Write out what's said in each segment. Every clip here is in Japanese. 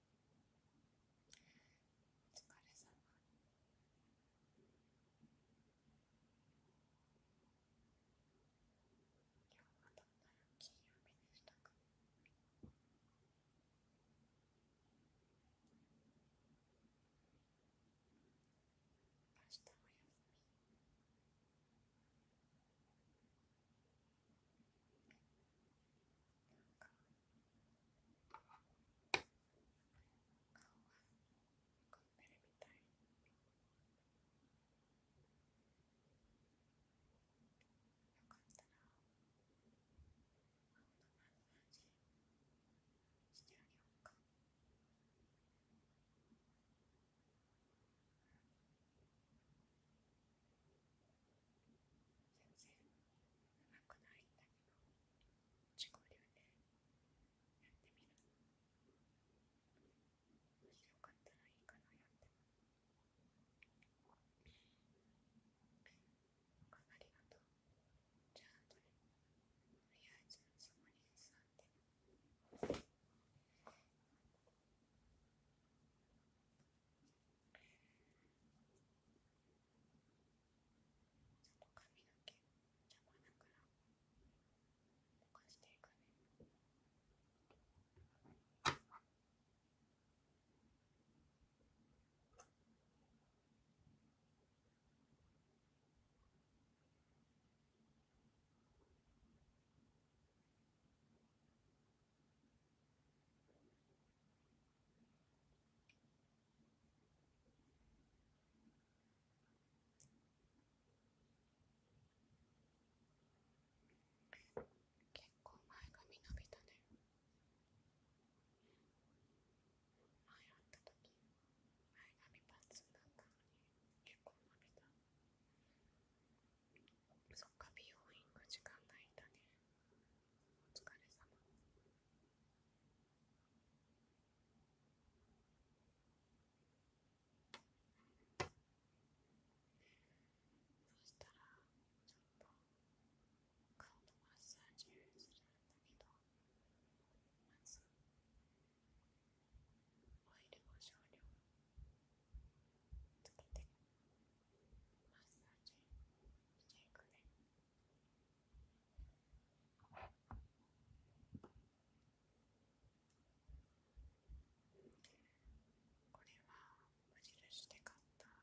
お疲れ様今日はどんな金曜日でしたか明日も休みよかったら、マッサージしてあげようか。全然長くないんだけど自己流でやってみるもしよかったらいいかなやってもおかありがとうじゃあとりあえずそこに座ってちょっと髪の毛邪魔なからぼかしていくね結構前髪伸びたね前会った時前髪パッツンだったのに結構伸びたそっか美容院が時間ないんだねお疲れ様そしたらちょっと顔のマッサージするんだけどまずオイルを少量つけて。マッサージしていくね。これは無印で買ったオー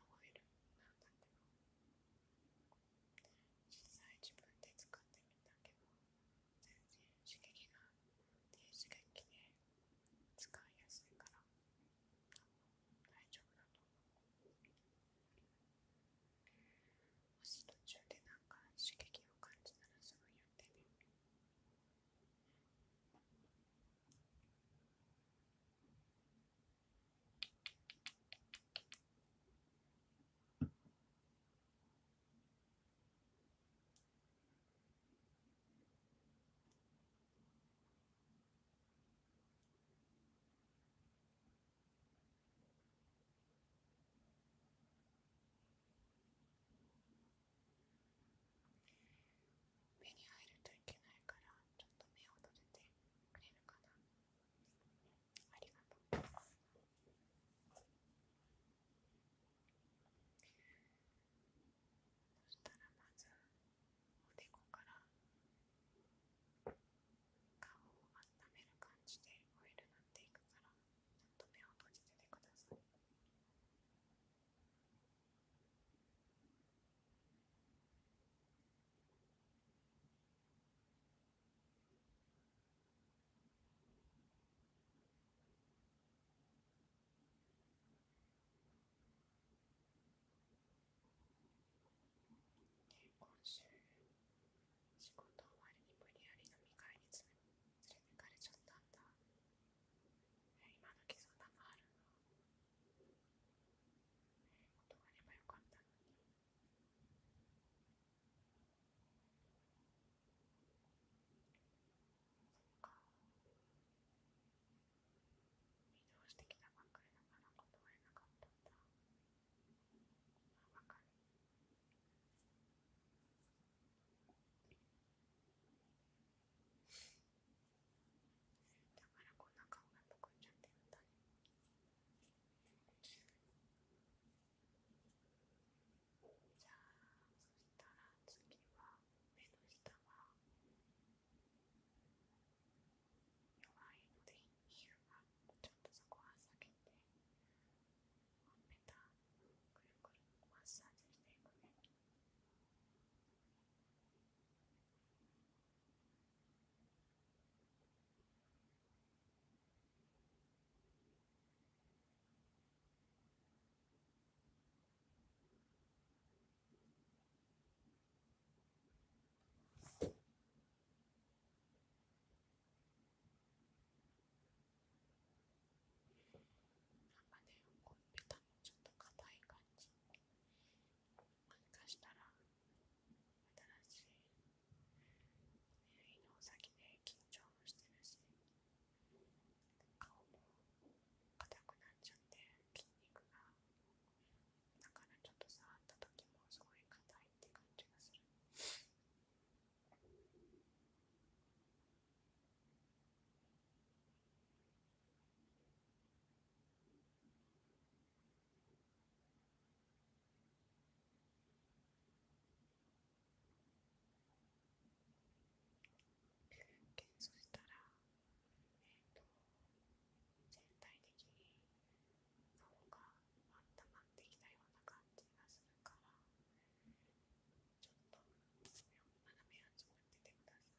マーオイルなんだけど実際自分で使ってみたけど全然刺激が低刺激で使いやすいから大丈夫だと思うもし途中でなんか刺激を感じたらすぐやってみ、ね、る。目に入るといけないからちょっと目を閉じてくれるかなありがとうそしたらまずおでこから顔を温める感じでオイル塗っていくからちょっと目を閉じててください。今週仕事終わりに無理やり飲み会に連れてかれちゃったんだ今の時そんなあるの断ればよかったのにそっか移動してきたばっかりだから断れなかったんだわかるだからこんな顔がむくんじゃってるんしたら次は目の下は弱いので皮膚がちょっとそこは避けてほっぺたくるくるマッサージしていくね。目なんかね、こうペタのちょっと硬い感じもしかしたら新しい耳の先で緊張もしてるし。顔も硬くなっちゃって筋肉がだからちょっと触った時もすごい硬いって感じがするそ査したら、えっと、全体的に顔が温まってきたような感じがするから、ちょっと斜め足を当ててください、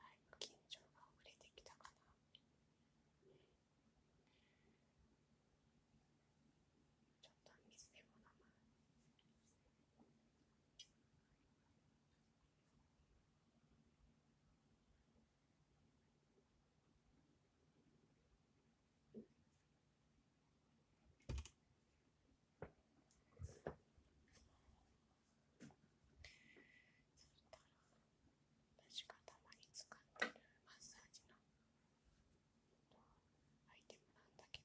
だいぶ緊張が遅れてきたかな。ちょっと水でも飲む。そした私がたまに使ってるマッサージのアイテムなんだけど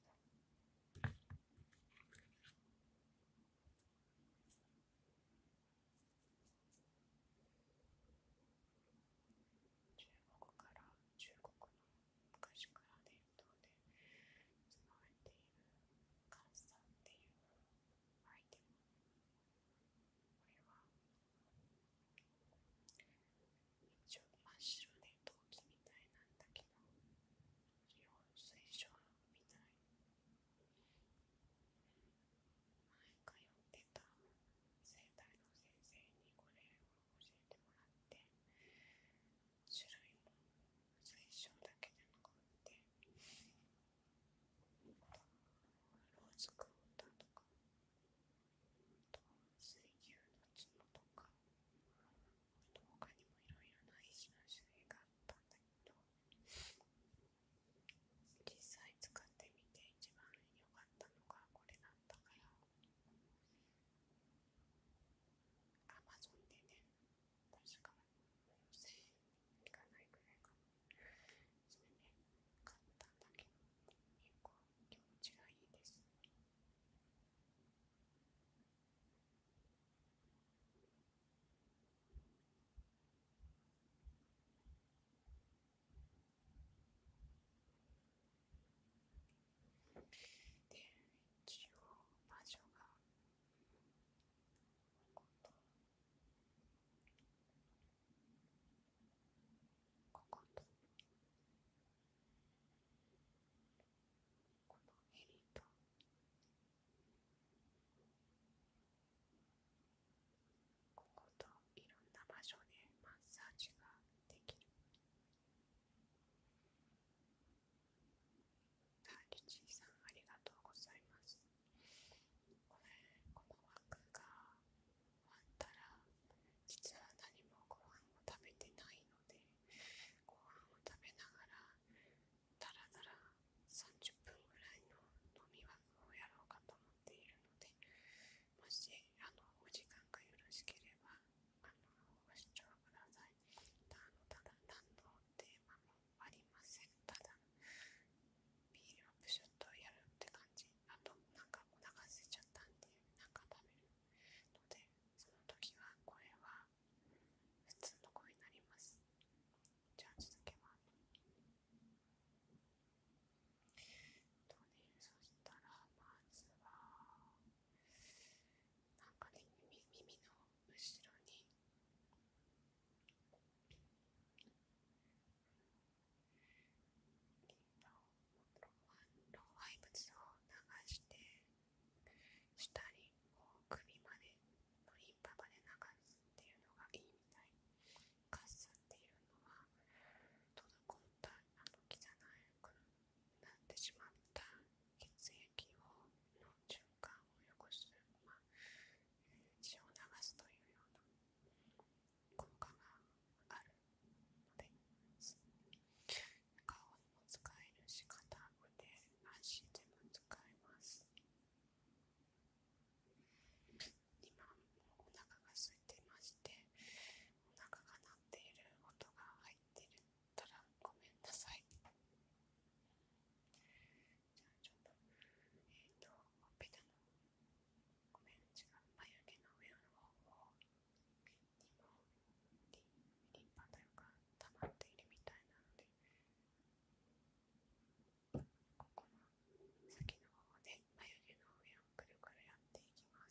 中国から中国の昔から伝統で使われているカッサっていうはいこれは一応真っ白で陶器みたいなんだけど日本水晶みたい前通ってた生体の先生にこれを教えてもらって種類も水晶だけじゃなくてローズクォーターとか水牛の角とかあと他にもいろいろな石の種類があったんだけど実際使ってみて一番良かったのがこれだったからアマゾンでね確か行かないくらいかもそれね買っただけど結構気持ちがいいですで、一応場所がこことこことこの襟とここといろんな場所でマッサージができる。あ、リチーさんありがとうございます。この枠が終わったら実は何もご飯を食べてないのでご飯を食べながらだらだら30分ぐらいの飲み枠をやろうかと思っているのでもしあのお時間がよろしければあのご視聴ください。ただただ何のテーマありませんただビールをップシュッとやるって感じあとなんかお腹すいちゃったっんでなんか食べるのでその時はこれは普通の声になりますじゃあ続けますとねそしたらまずはなんかね耳の後ろに老廃物を流して下に首までのリンパまで流すっていうのがいいみたいカッっていうのは滞ったあの汚くなってしまった血液をの循環をよくする、ま血を流すというような効果があるので顔にも使えるし肩腕足でも使えます今お腹が空いてましてお腹が鳴っている音が入っているったらごめんなさいじゃちょっとえっ、とほっのごめん違う眉毛の上の方にリンパというか溜まっているみたいなのでここの先の方で眉毛の上をくるくるやっていきます。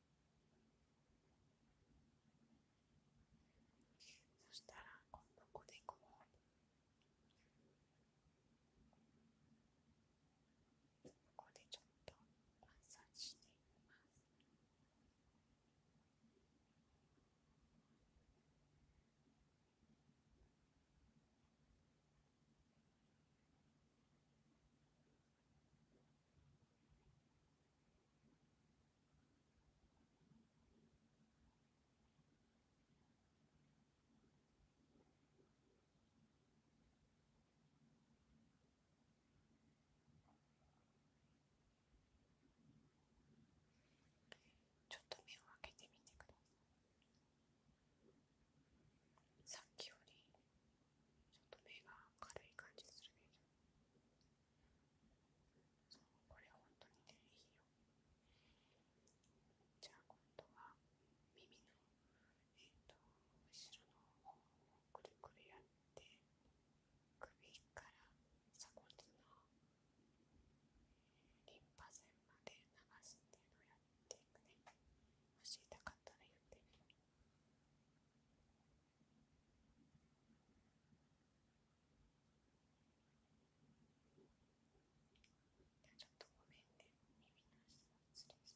そしたら今度こでこうここでちょっとマッサージしていますちょっと目を開けてみてください。さっきよりちょっと目が軽い感じするでしこれ本当にねいいよじゃあ今度は耳のえっ、ー、後ろの方をくるくるやって首から鎖骨のリンパ腺まで流すっていうのをやっていくねもし痛かったら言ってちょっとごめんね耳の下失礼し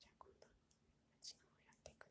じゃあ今度は内側をやってくれ。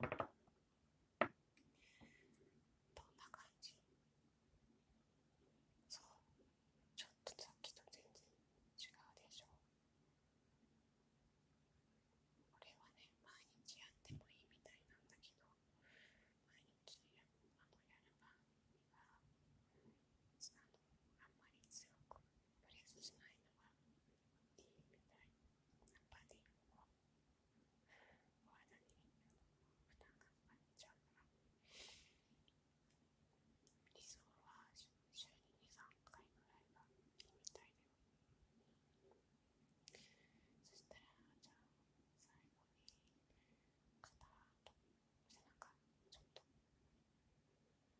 どんな感じそうちょっとさっきと全然違うでしょこれはね毎日やってもいいみたいなんだけど毎日あのやれば。合はあんまり強くプレスしないのがたいナパでおに負担2、回ぐらいがいいみたいだよそしたらじゃあ最後に肩と背中ちょっと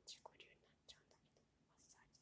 自己流になっちゃうんだけどマッサージ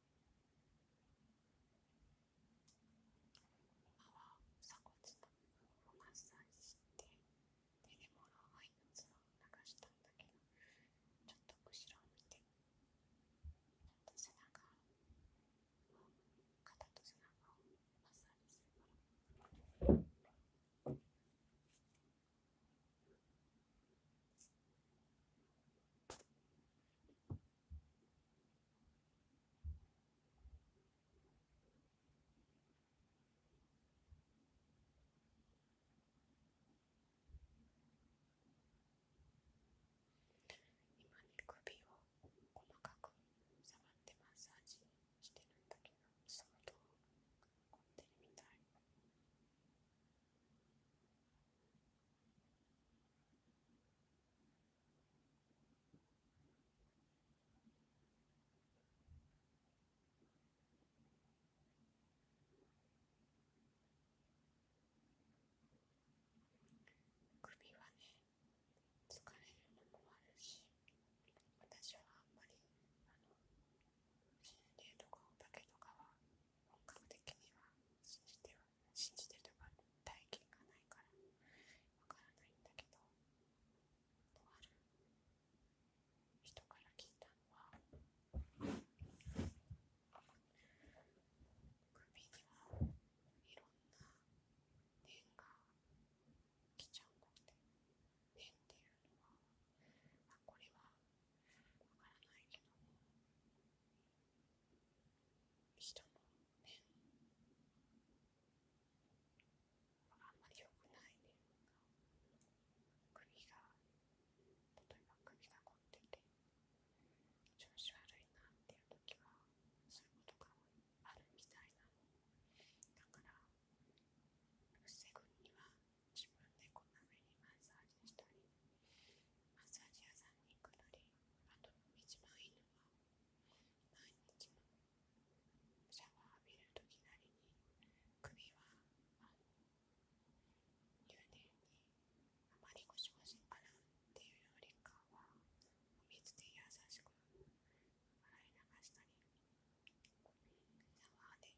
今は鎖骨とをマッサージして手でもらわいのツを流したんだけどちょっと後ろを見てちと背中を肩と背中をマッサージするから。今ね首を細かく触ってマッサージしてるんだけど相当凝ってるみたい。首はね疲れるのもあるし私はあんまり心霊とかお化けとかは本格的には信じては信じてるとか体験がないからわからないんだけどとある人から聞いたのは首にはいろんな縁が来ちゃうんだって縁っていうのは、まあ、これはわからないけども人もねあんまり良くないというか首が例えば首が凝ってて調子悪いなっていう時はそういうことがあるみたいなのだから防ぐには自分でこんな目にマッサージしたり。マッサジ屋さんにくのり、あと一番いいのは毎日のシャワー浴びるときなりに首はあの入念にあまりゴしゴし洗うっていうよりかはお水で優しく洗い流したりシャワーで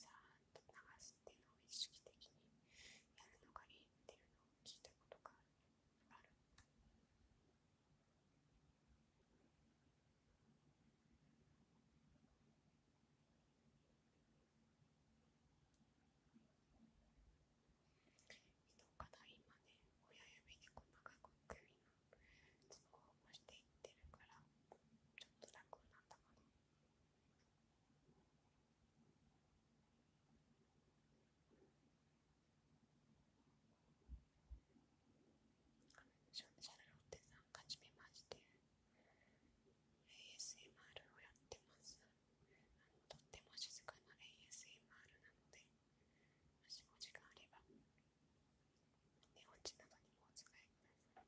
さあ。流すっていうのを意識的にやるのがいっていうのを聞いたことがある。いどかな今ね親指に細かく首のツボを押していってるからちょっと楽になったかな。シャルロッテさん、はじめまして。ASMR をやってます。とても静かな ASMR なので、もしお時間あれば、寝落ちなどにもお使いくだ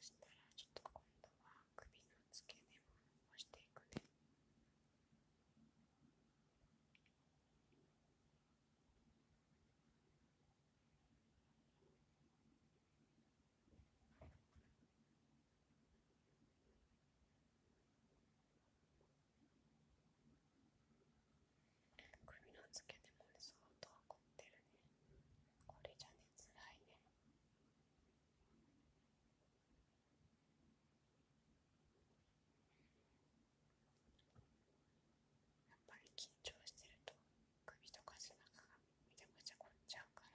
そしたらちょっと今度は首の付け根も押していくね。首の付け根もね相当凝ってるねこれじゃねつらいねやっぱり緊張してると首とか背中がめちゃくちゃ凝っちゃうから。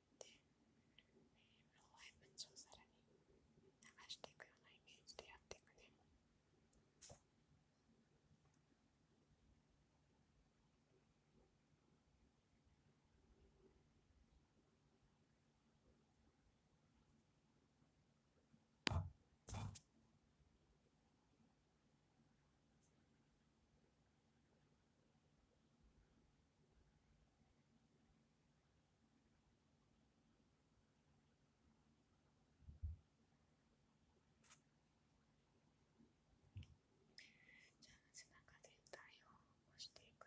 って老廃をさらに流していくようなイメージでやっていくね。じゃあ背中全体を押していくね。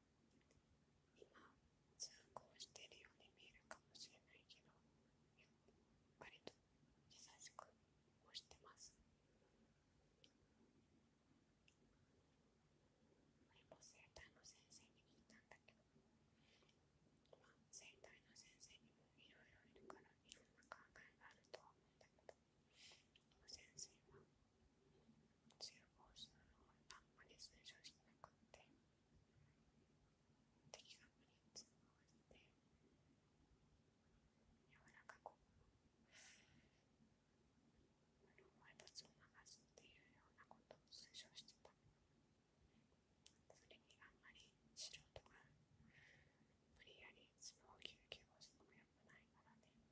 今通行してるように見えるかもしれないけど割と優しく押してます前も生体の先生に聞いたんだけど今、あ生体の先生にもいろいろいるからいろんな考えがあるとは思うんだけど先生は強中央集のことあんまり推奨しなくて敵が無理に通報れて柔らかく埋つを流すっていうようなことを推奨してたそれにあんまり素人が無理やり相撲を休憩をしのもよくないからね。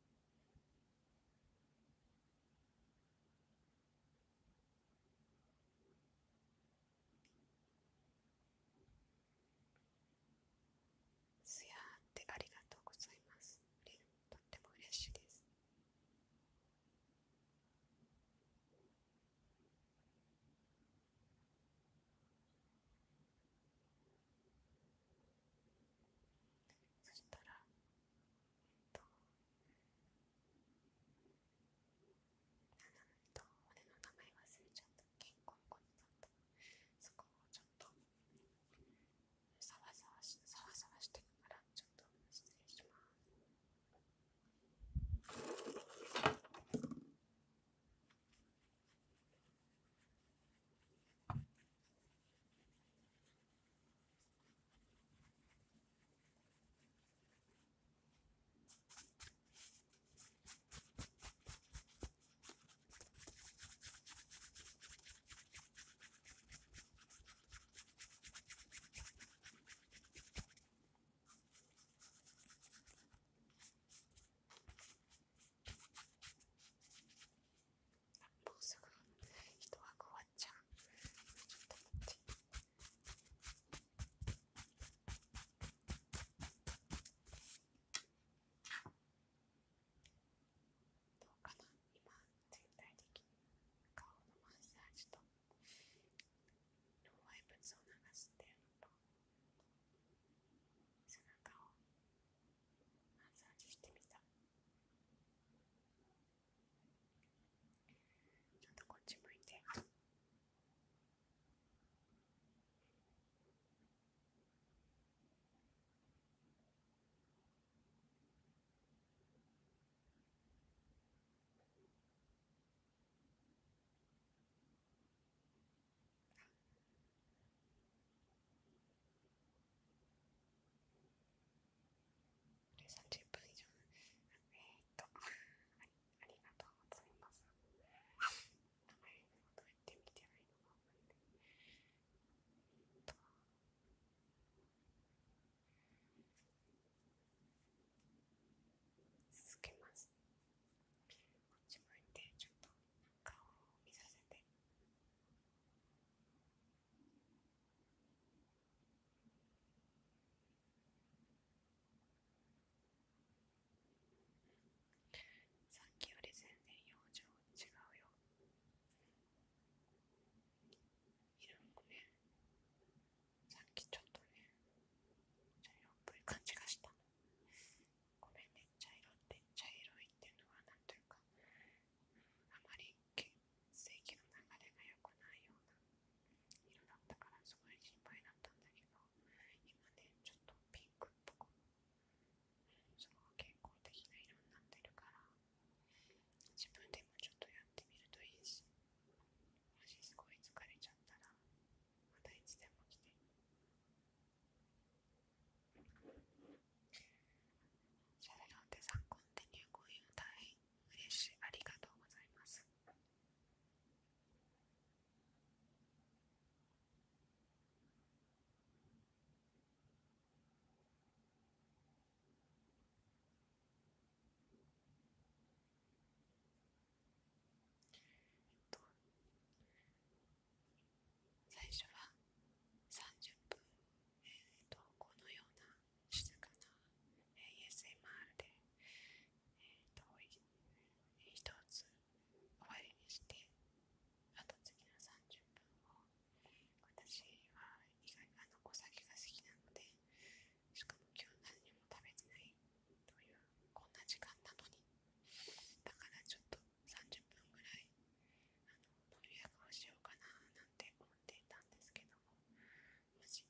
すやーってありがとうございます。とっても嬉しいです。そしたらえっとなんと俺の名前忘れちゃった健康子になったそこをちょっとサワサワしサワサワしてからちょっと失礼します坊主が一枠はじゃん。どうかな今全体的に顔のマッサージと老廃物を流すっていうのと背中をマッサージしてみた。ちょっとこっち向い30分以上えー、っとあり、がとうございます。名前をどうやって見てないのかわかんない。えっと続けます。こっち向いてちょっと顔を見させて。さっきより全然表情違うよ色もねさっきちょっとね茶色っぽい感じがしたごめんね茶色って茶色いっていうのはなんというかあまり血液の流れがよくないような色だったからすごい心配だったんだけど今ねちょっとピンクっぽくすごく健康的な色になってるから自分でもちょっとやってみるといいしもしすごい疲れちゃったらまたいつでも来て。シャレロンテん、コンテニューコインも大変嬉しい。ありがとうございます。えっと、最初は30分えー、とこのような静かな ASMR で、えー、と一つ終わりにしてあと次の30分を私は意外あのお酒が好きなのでしかも今日何にも食べてないというこんな時間なのにだからちょっと30分ぐらい。のドリアをしようかななんて思っていたんですけどももし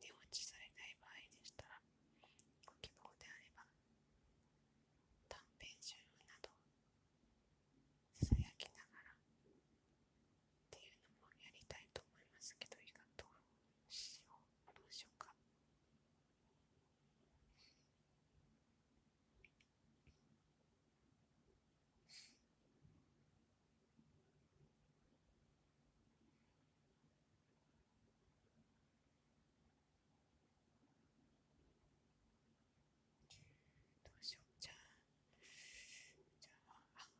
寝落ちされない場合でしたらご希望であれば短編集などさやきながらっていうのもやりたいと思いますけどいかどうしようどうしようかどうしようじゃあじゃああ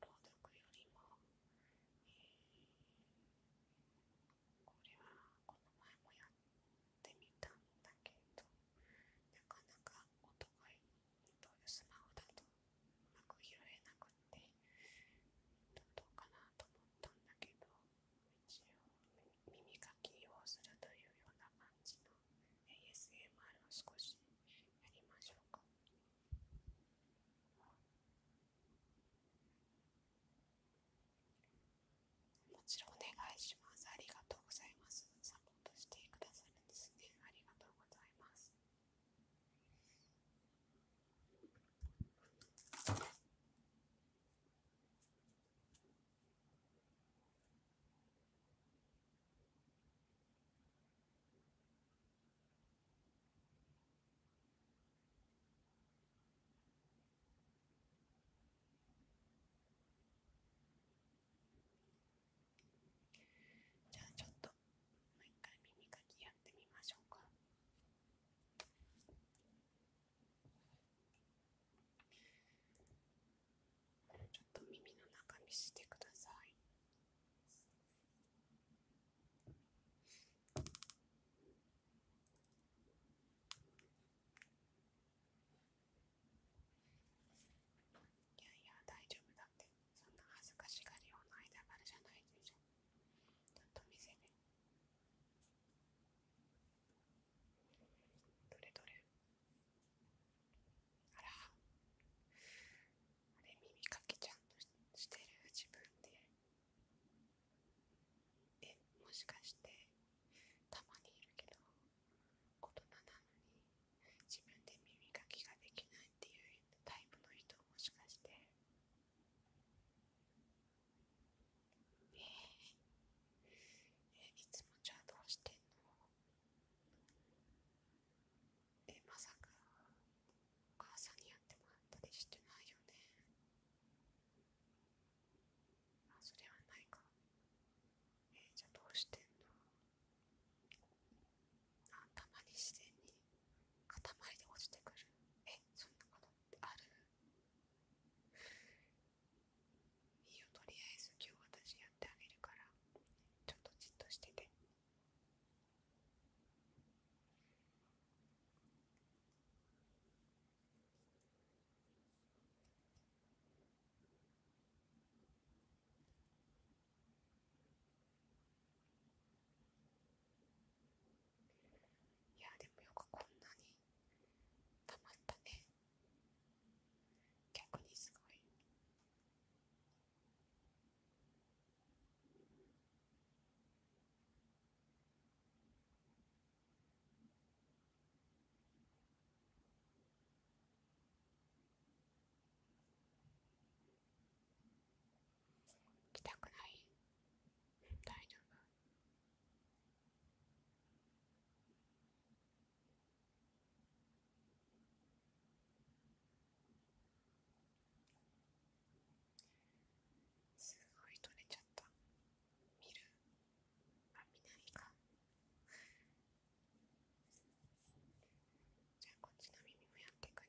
朗読よりも、えー、これはこの前もやってみたんだけどなかなか音がいいとスマホだとうまく拾えなくってどうかなと思ったんだけど一応耳かきをするというような感じの ASMR を少しやりましょうか。もちろんお願いします。ありがとうございます。参としてくださるんですね。ありがとうございます。じゃあちょっともう一回耳かきやってみましょうかちょっと耳の中見してくださいいやいや大丈夫だってそんな恥ずかしがりような間柄じゃないでしょちゃんと見せるどれどれあらあれ耳かきちゃんとしてる自分でえもしかしてたまにいるけど大人なのに自分で耳かきができないっていうタイプの人もしかしてえー、えいつもじゃあどうしてんのえまさかお母さんにやってもらったりしてないよねあそれはないかえじゃどうしてんのあたまに自然に塊で落ちてくるえそんなことってあるいいよとりあえず今日私やってあげるからちょっとじっとしてていやでもよくこんなにたまったね逆にすごい。来たくない大丈夫すごい取れちゃった見るあ見ないかじゃあこっちの耳もやってくね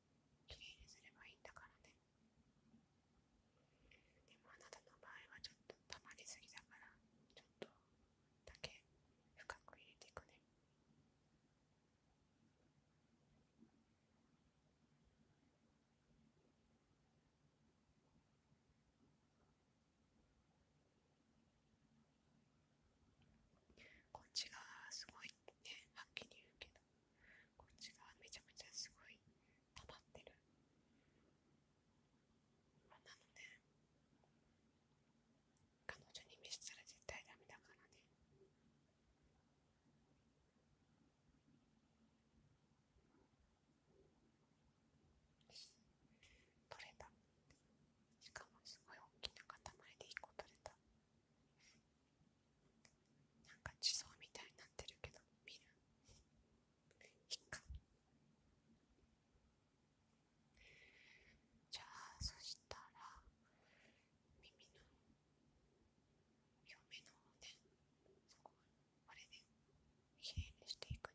きれいにすればいいんだからねでもあなたの場合はちょっと溜まりすぎだからちょっとだけ深く入れていくねこっちがすごいねはっきり言うけどこっち側めちゃめちゃすごい溜まってる、まあ、なのね。彼女に見せたら絶対ダメだからね取れたしかもすごい大きな塊で1個取れたなんか地層みたいになってるけど見るいっかじゃあそしたら耳の両目の方ねそこあれねきれにしていくね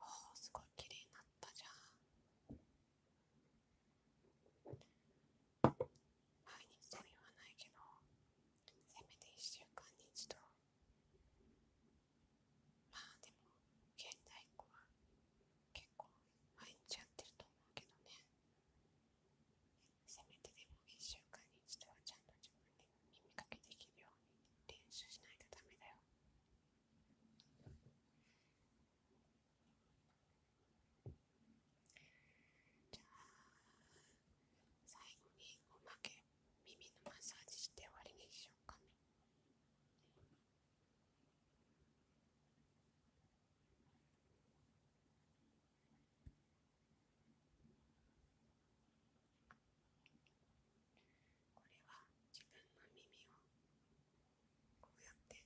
おお、すごい綺麗になったじゃん毎日とは言わないけどせめて1週間に一度まあでも現代っ子は結構毎日やってると思うけどねせめてでも1週間に一度はちゃんと自分で耳かきできるように練習しないとダメだよ。じゃあ最後におまけ耳のマッサージして終わりにしようかね。これは自分の耳をこうやって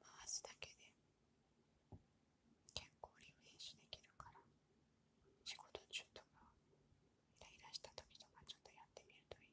回すだけで結構リフレッシュできるから仕事中とかイライラした時とかちょっとやってみるといいよ。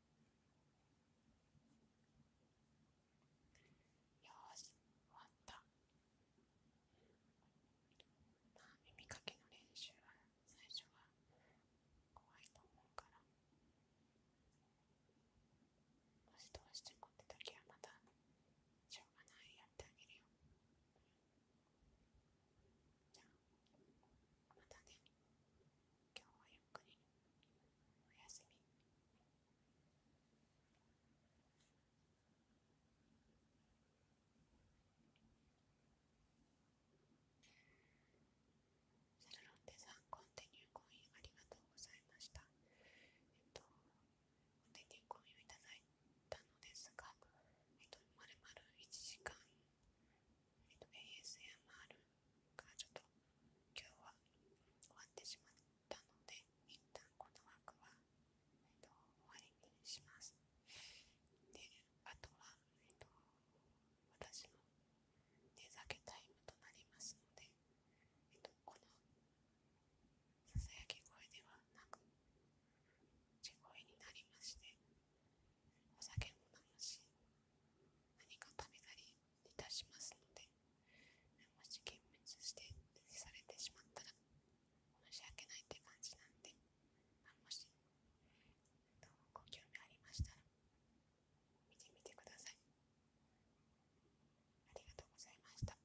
よし、終わった。まあ、耳かきの練習は最初は怖いと思うから、もしどうしてもって時はまたしょうがないやってあげるよ。じゃあ、またね。今日はゆっくりおやすみセルロンテさんコンテニューコインありがとうございましたえっとコンテニューコインをいただいたのですがえっとまるまる1時間えっと ASMR 今日は終わってしまったので一旦この枠は、終わりにしますであとは、私の寝酒タイムとなりますので、このささやき声ではなく地声になりましてお酒も飲むし何か食べたりいたしますのでもし幻滅してされてしまったら申し訳ないって感じなんで、あ、もしご興味ありましたら見てみてくださいありがとうございました